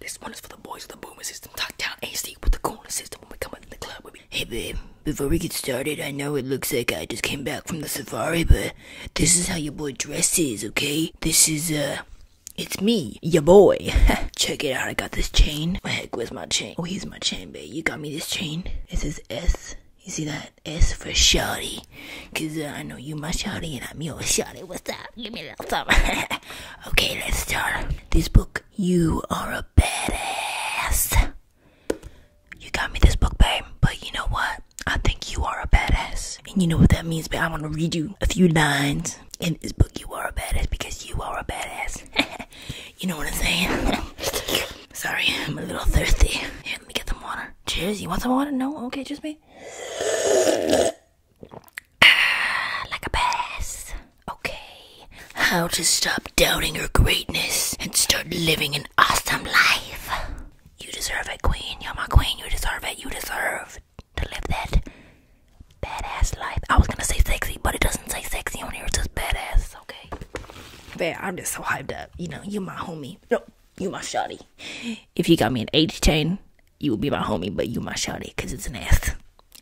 This one is for the boys with the boomer system. talk down AC with the corner system when we come in the club. We be hey babe, before we get started, I know it looks like I just came back from the safari, but this is how your boy dresses, okay? This is uh, it's me, your boy. Check it out. I got this chain. Where heck, where's my chain? Oh, here's my chain, babe. You got me this chain. It says S. You see that? S for Shotty? Cause uh, I know you my Shotty, and I'm your Shotty. What's up? Give me that thumb. Okay, let's start this book. You are a badass. You got me this book, babe. But you know what? I think you are a badass. And you know what that means, babe. I'm gonna read you a few lines in this book. You are a badass because you are a badass. you know what I'm saying? Sorry, I'm a little thirsty. let me get some water. Cheers. You want some water? No? Okay, just me. Ah, like a bass. Okay. How to stop doubting your greatness and start living an awesome life. You deserve it, Queen. You're my queen. You deserve it. You deserve to live that badass life. I was gonna say sexy, but it doesn't say sexy on here. It's just badass. Okay. Man, I'm just so hyped up. You know, you my homie. Nope, you my shawty. If you got me an 80 chain, you will be my homie, but you my shawty, cause it's an S.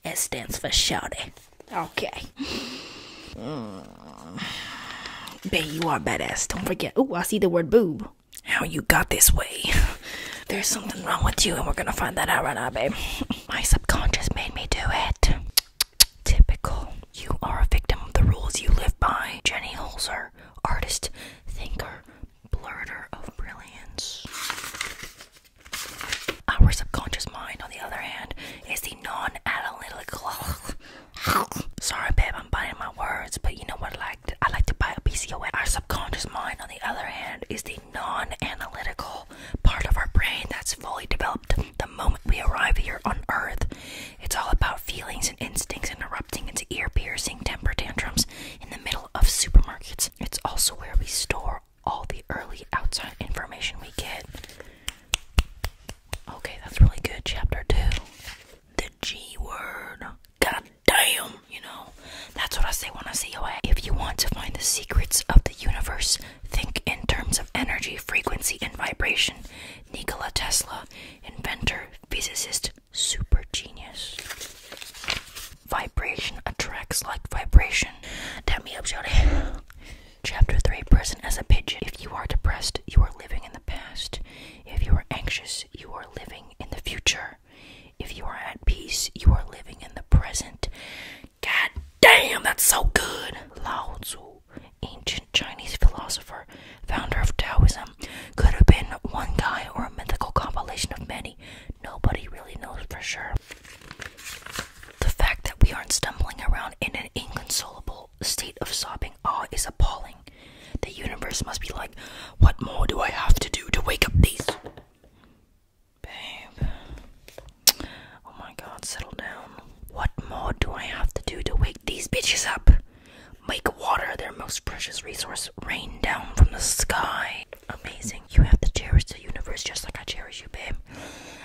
S stands for shawty. Okay. Mm. Babe, you are badass. Don't forget. Oh, I see the word boob. How you got this way? There's something wrong with you, and we're gonna find that out right now, babe. my subconscious made me do it. Typical. You are a victim of the rules you live by. Jenny Holzer, artist, thinker, blurter of brilliance. Our subconscious mind, on the other hand, is the non-analytical. Sorry, babe, I'm biting my words, but you know what? I like to, I like to buy a piece of Our subconscious mind, on the other hand, is the non-analytical part of our brain that's fully developed the moment we arrive here on Earth. It's all about feelings and instincts and erupting into ear-piercing temper tantrums in the middle of supermarkets. It's also where we store all the early outside information we get. Okay, that's really good. Chapter 2. The G word. God damn, you know. That's what I say when I see OA. If you want to find the secrets of the universe, think in terms of energy, frequency, and vibration. Nikola Tesla, inventor, physicist, super genius. Vibration attracts like vibration. Damn me up, Jody. Chapter 3 Present as a Pigeon. If you are depressed, you are living in the past. If you are anxious, you are living in the future. If you are at peace, you are living in the present. God damn, that's so good! Lao Tzu, ancient Chinese philosopher, founder of Taoism, could have been one guy or a mythical compilation of many. Nobody really knows for sure. The fact that we aren't stumbling around in an inconsolable state of sobbing awe is appalling. The universe must be like, what more do I have to do to wake up these? Babe. Oh my god, settle down. What more do I have to do to wake these bitches up? Make water, their most precious resource, rain down from the sky. Amazing. You have to cherish the universe just like I cherish you, babe.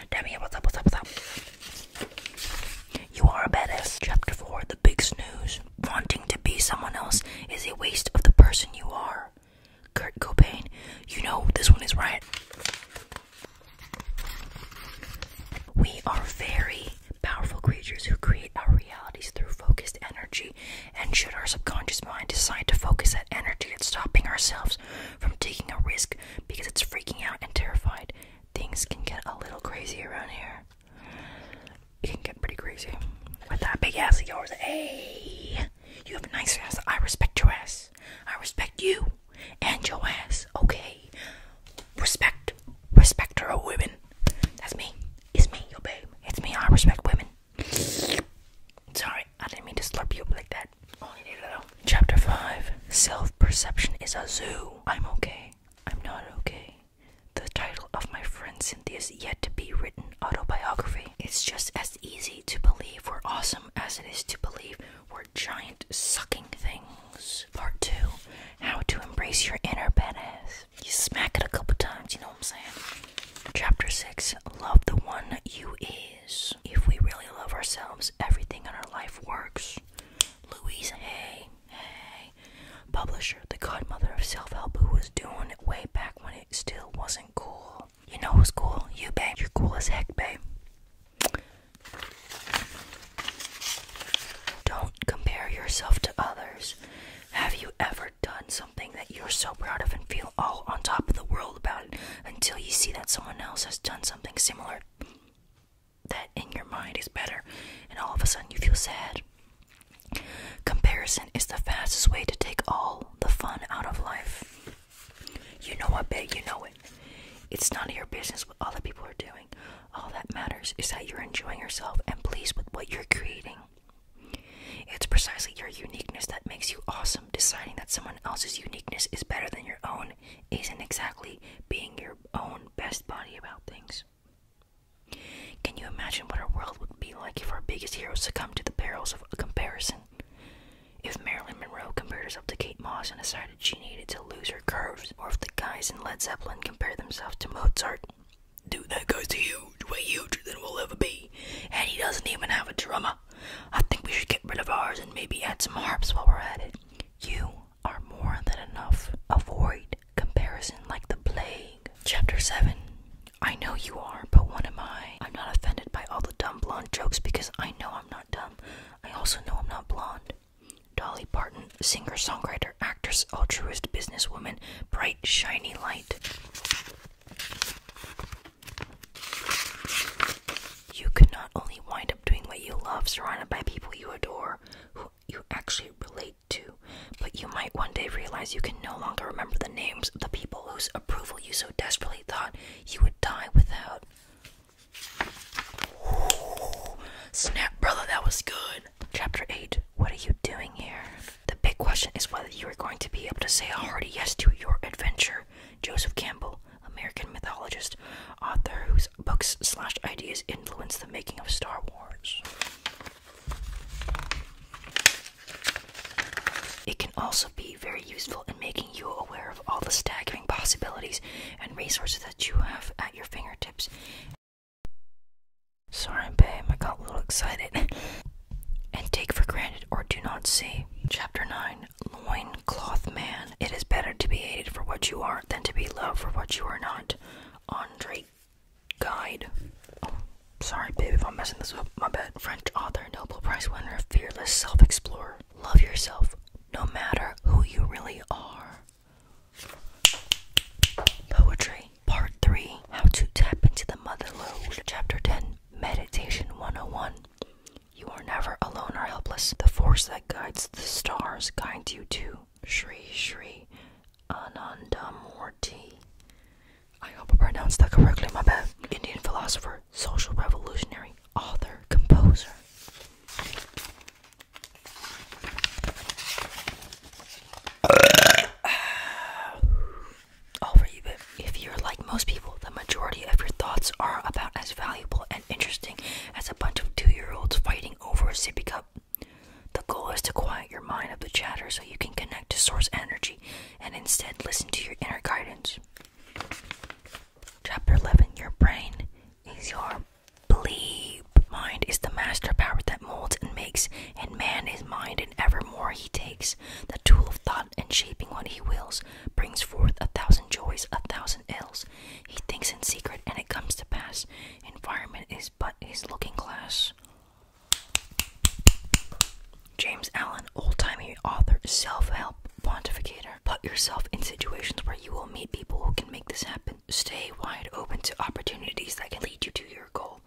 Demi, what's up, what's up, what's up? You are a badass. Chapter 4 The Big Snooze. Wanting to be someone else is a waste of the person you are. Kurt Cobain. You know this one is right. We are very powerful creatures who create our realities through focused energy. And should our subconscious mind decide to focus that energy, it's stopping ourselves from taking a risk because it's freaking out and terrified. Things can get a little crazy around here. It can get pretty crazy. With that big ass of yours, hey! You have a nice ass. I respect your ass. I respect you and your ass. Okay. Respect. Respect her, women. That's me. It's me, your babe. It's me. I respect women. Sorry, I didn't mean to slurp you like that. Chapter 5 Self Perception is a Zoo. I'm okay. I'm not okay. The title of my friend Cynthia's yet to be written autobiography. It's just as easy to believe we're awesome as it is to believe we're giant sucking things. Part 2 How to Embrace Your Inner Badass. You smack it a couple times, you know what I'm saying? Chapter 6 Love the One You Is. If we really love ourselves, everything in our life works. Louise Hay, hey, publisher, the godmother of self help, who was doing it way back when it still wasn't cool. You know what's cool? You, babe. You're cool as heck, babe. Don't compare yourself to others. Have you ever done something that you're so proud of and feel all on top of the world about until you see that someone else has done something similar that in your mind is better and all of a sudden you feel sad? Comparison is the fastest way to take all the fun out of life. You know what, babe, you know it. It's none of your business what other people are doing. All that matters is that you're enjoying yourself and pleased with what you're creating. It's precisely your uniqueness that makes you awesome. Deciding that someone else's uniqueness is better than your own isn't exactly being your own best body about things. Can you imagine what our world would be like if our biggest heroes succumbed to the perils of comparison? If Marilyn Monroe compared herself to Kate Moss and decided she needed to lose curves, or if the guys in Led Zeppelin compare themselves to Mozart. Dude, that guy's huge, way huger than we'll ever be, and he doesn't even have a drummer. I think we should get rid of ours and maybe add some harps while we're at it. You are more than enough. Avoid comparison like the plague. Chapter 7 I know you are, but what am I? I'm not offended by all the dumb blonde jokes because I know I'm not dumb. I also know I'm not blonde. Dolly Parton, singer, songwriter, actress, altruist, businesswoman, bright, shiny light. You can not only wind up doing what you love, surrounded by people you adore, who you actually relate to, but you might one day realize you can no longer remember the names of the people whose approval you so desperately thought you would die without. Ooh, snap, brother, that was good. Chapter 8 What are you doing here? The big question is whether you are going to be able to say a hearty yes to your adventure. Joseph Campbell, American mythologist, author whose books slash ideas influenced the making of Star Wars. It can also be very useful in making you aware of all the staggering possibilities and resources that you have at your fingertips Sorry, babe, I got a little excited. and take for granted or do not see. Chapter 9 Loincloth Man. It is better to be hated for what you are than to be loved for what you are not. Andre Guide. Oh, sorry, baby, if I'm messing this up. My bad. French author, Nobel Prize winner, fearless self explorer. Love yourself no matter who you really are. Poetry Part 3 How to Tap into the Mother Chapter 10 Meditation 101 You are never alone or helpless. The force that guides the stars guides you too. Shri Shri Anandamurti. I hope I pronounced that correctly, my bad. Indian philosopher, social revolutionary, author, composer if you're like most people, the majority of your thoughts are about as valuable and interesting as a bunch of two-year-olds fighting over a sippy cup. The goal is to quiet your mind of the chatter so you can connect to source energy and instead listen to your inner guidance. Chapter 11 Your Brain is Your bleep. Mind is the master power that molds and makes, and man is mind, and evermore he takes the tool of thought, and shaping what he wills, brings forth a thousand joys, a thousand ills. He thinks in secret, and it comes to pass. Environment is but his looking glass. James Allen, old timey author, self help pontificator. Put yourself in situations where you will meet people who can make this happen. Stay wide open to opportunities that can lead you to your goal.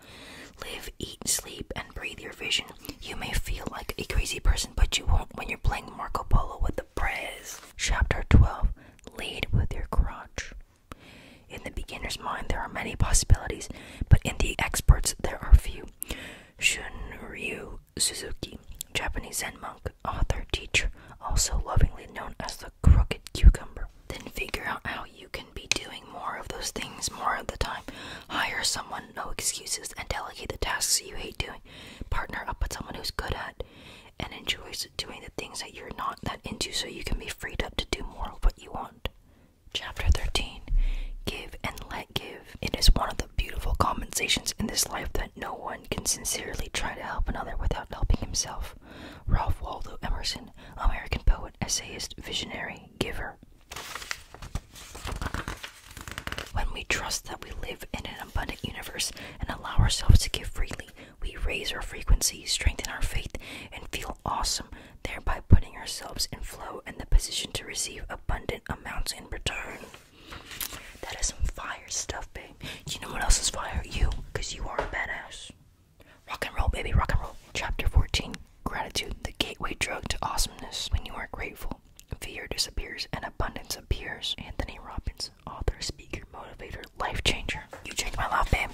Live, eat, sleep, and breathe your vision. You may feel like a crazy person, but you won't when you're playing Marco Polo with the prez. Chapter 12 Lead with your crotch. In the beginner's mind, there are many possibilities, but in the expert's, there are few. Shunryu Suzuki, Japanese Zen monk author, teacher, also lovingly known as the Crooked Cucumber. Then figure out how you can be doing more of those things more of the time. Hire someone, no excuses, and delegate the tasks you hate doing. Partner up with someone who's good at and enjoys doing the things that you're not that into so you can be freed up to do more of what you want. Chapter 13 Give and Let Give. It is one of the beautiful compensations in this life that no one can sincerely try to help another without helping himself. Ralph Waldo Emerson, American poet, essayist, visionary, giver. When we trust that we live in an abundant universe and allow ourselves to give freely, we raise our frequency, strengthen our faith, and feel awesome, thereby putting ourselves in flow and the position to receive abundant amounts in return. That is some fire stuff, babe. You know what else is fire? You, because you are a badass. Rock and roll, baby, rock and roll. Chapter 14 Gratitude, the gateway drug to awesomeness. When you are grateful, fear disappears and abundance appears. Anthony Robbins, author, speaker, motivator, life changer. You changed my life, babe.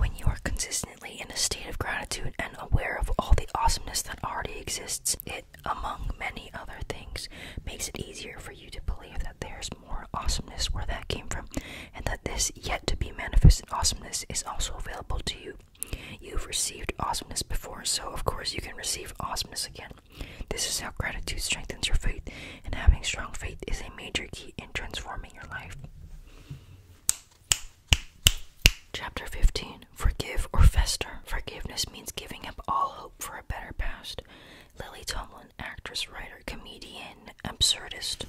When you are consistently in a state of gratitude and aware of all the awesomeness that already exists, it among many other things, makes it easier for you to believe that there's more awesomeness where that came from, and that this yet to be manifested awesomeness is also available to you. You've received awesomeness before, so of course you can receive awesomeness again. This is how gratitude strengthens your faith, and having strong faith is a major key in transforming your life. Chapter 15 Forgive or Fester. Forgiveness means giving up all hope for a better past. Lily Tomlin, actress, writer, comedian, absurdist.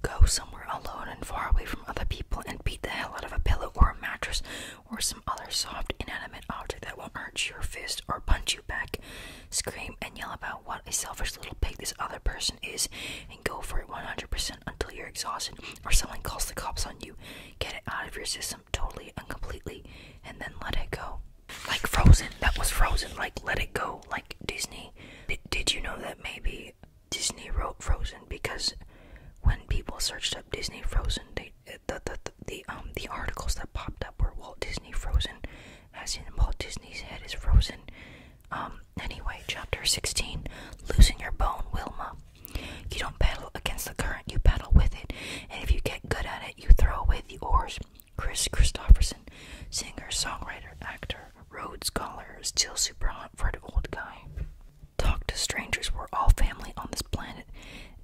Go somewhere alone and far away from other people and beat the hell out of a pillow or a mattress or some other soft, inanimate object that won't hurt your fist or punch you back. Scream and yell about what a selfish little pig this other person is and go for it 100% until you're exhausted or someone calls the cops on you. Get it out of your system totally and and then let it go. Like Frozen, that was Frozen, like let it go, like Disney. did you know that maybe Disney wrote Frozen because when people searched up Disney Frozen, they the the, the, um the articles that popped up were Walt Disney Frozen, as in Walt Disney's head is frozen. Um. Anyway, chapter sixteen: losing your bone, Wilma. You don't battle against the current you battle with it, and if you get good at it, you throw away the oars. Chris Christopherson, singer, songwriter, actor, Rhodes scholar, still super hot for an old guy. Talk to strangers, we're all family on this planet.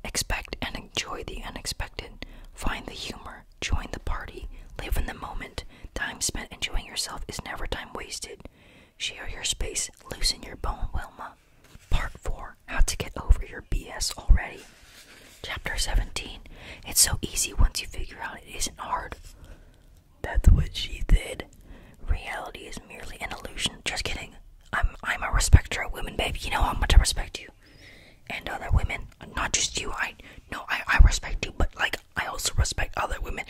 Expect and enjoy the unexpected. Find the humor, join the party, live in the moment. Time spent enjoying yourself is never time wasted. Share your space, loosen your bone Wilma. Part 4 How to Get Over Your BS Already. Chapter 17 It's so easy once you figure out it isn't hard. That's what she did. Reality is merely an illusion. Just kidding. I'm I'm a respecter of women, baby. You know how much I respect you. And other women. Not just you. I no, I, I respect you, but like I also respect other women.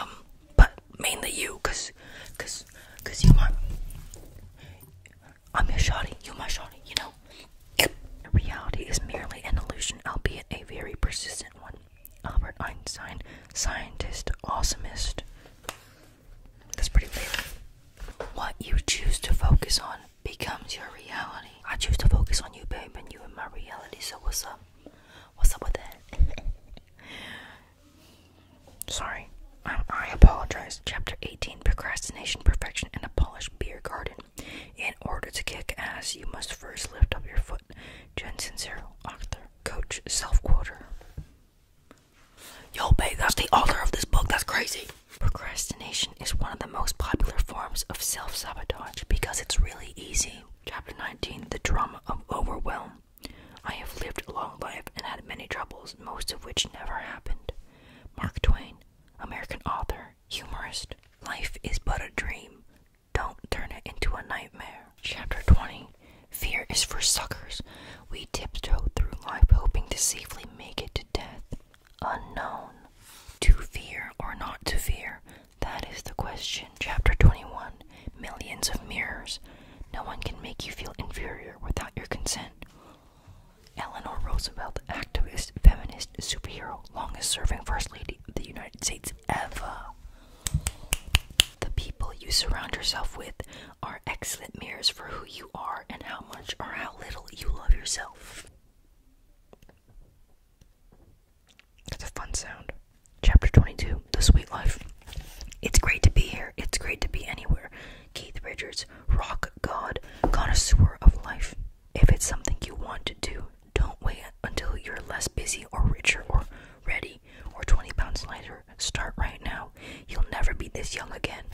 Um, but mainly you, cause, cause, you want. I'm your shawty, you my shawty, you know? Reality is merely an illusion, albeit a very persistent one. Albert Einstein, scientist, awesomest. That's pretty late. What you choose to focus on becomes your reality. I choose to focus on you, babe, and you in my reality, so what's up? What's up with that? Sorry. Um, I, apologize. Chapter 18 Procrastination, Perfection, and a Polished Beer Garden. In order to kick ass, you must first lift up your foot. Jensen Zero, author, coach, self quoter. Yo, babe, that's the author of this book. That's crazy. Procrastination is one of the most popular forms of self sabotage because it's really easy. Chapter 19 The Drama of Overwhelm. I have lived a long life and had many troubles, most of which never happened. Mark Twain, American author, humorist. Life is but a dream. Don't turn it into a nightmare. Chapter 20 Fear is for suckers. We tiptoe through life hoping to safely make it to death. Unknown. To fear or not to fear? That is the question. Chapter 21 Millions of Mirrors. No one can make you feel inferior without your consent. Eleanor Roosevelt, activist, feminist, superhero, longest serving First Lady of the United States ever. The people you surround yourself with are excellent mirrors for who you are and how much or how little you love yourself. That's a fun sound. Chapter 22 The Sweet Life. It's great to be here. It's great to be anywhere. Keith Richards, rock god, connoisseur of life. If it's something you want to do, don't wait until you're less busy or richer or ready or 20 pounds lighter. Start right now. You'll never be this young again.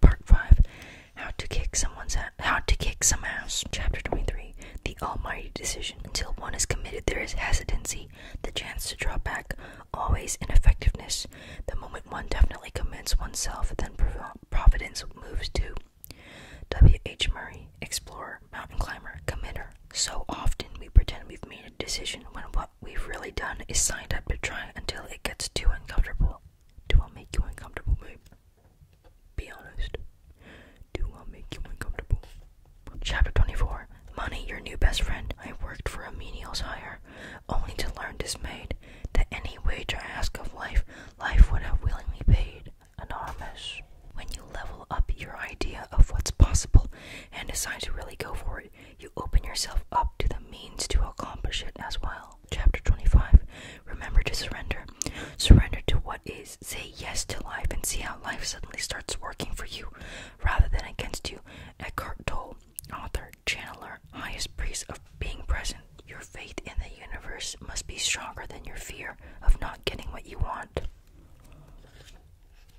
Part 5 How to Kick Someone's Ass. Ass. Chapter 23 The Almighty Decision. Until one is committed, there is hesitancy the chance to draw back, always in effectiveness, the moment one definitely commits oneself, then providence moves too. W. H. Murray, explorer, mountain climber, committer. So often we pretend we've made a decision when what we've really done is signed up to try until it gets too uncomfortable. Do I make you uncomfortable, babe? Be honest. Chapter 24 Money, your new best friend. I worked for a menial's hire, only to learn dismayed that any wage I ask of life, life would have willingly paid. an Anonymous. When you level up your idea of what's possible and decide to really go for it, you open yourself up to the means to accomplish it as well. Chapter 25 Remember to surrender. Surrender to what is. Say yes to life and see how life suddenly starts working for you rather than against you. Eckhart Tolle, author, channeler, highest priest of being present. Your faith in the universe must be stronger than your fear of not getting what you want.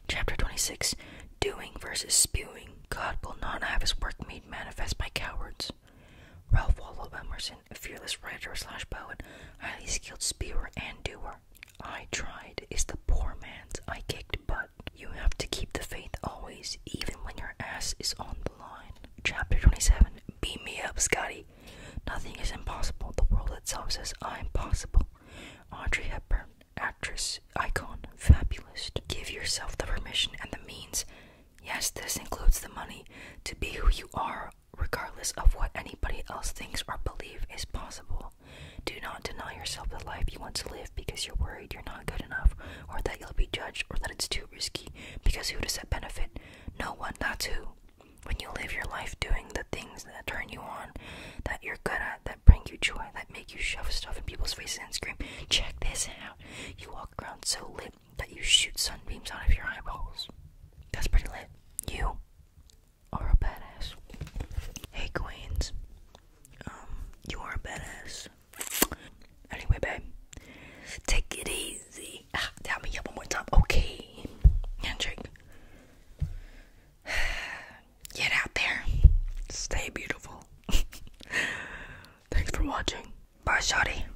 Chapter 26 Doing versus Spewing. God will not have his work made manifest by cowards. Ralph Waldo Emerson, a fearless writer slash poet, highly skilled spewer and doer, I tried is the poor man's. I kicked but You have to keep the faith always, even when your ass is on the line. Chapter 27 Beat me up, Scotty. Nothing is impossible. The world itself says I'm possible. Audrey Hepburn, actress, icon, fabulist. Give yourself the permission and the means. Yes, this includes the money to be who you are regardless of what anybody else thinks or believes is possible. Do not deny yourself the life you want to live because you're worried you're not good enough, or that you'll be judged, or that it's too risky. Because who does that benefit? No one, that's who. When you live your life doing the things that turn you on, that you're good at, that bring you joy, that make you shove stuff in people's faces and scream, check this out. You walk around so lit that you shoot sunbeams out of your eyeballs. That's pretty lit. You are a badass. Hey Queens, um, you are a badass. Anyway, babe, take it easy. Ah, tell me up one more time. Okay, handshake. Get out there. Stay beautiful. Thanks for watching. Bye, Shotty.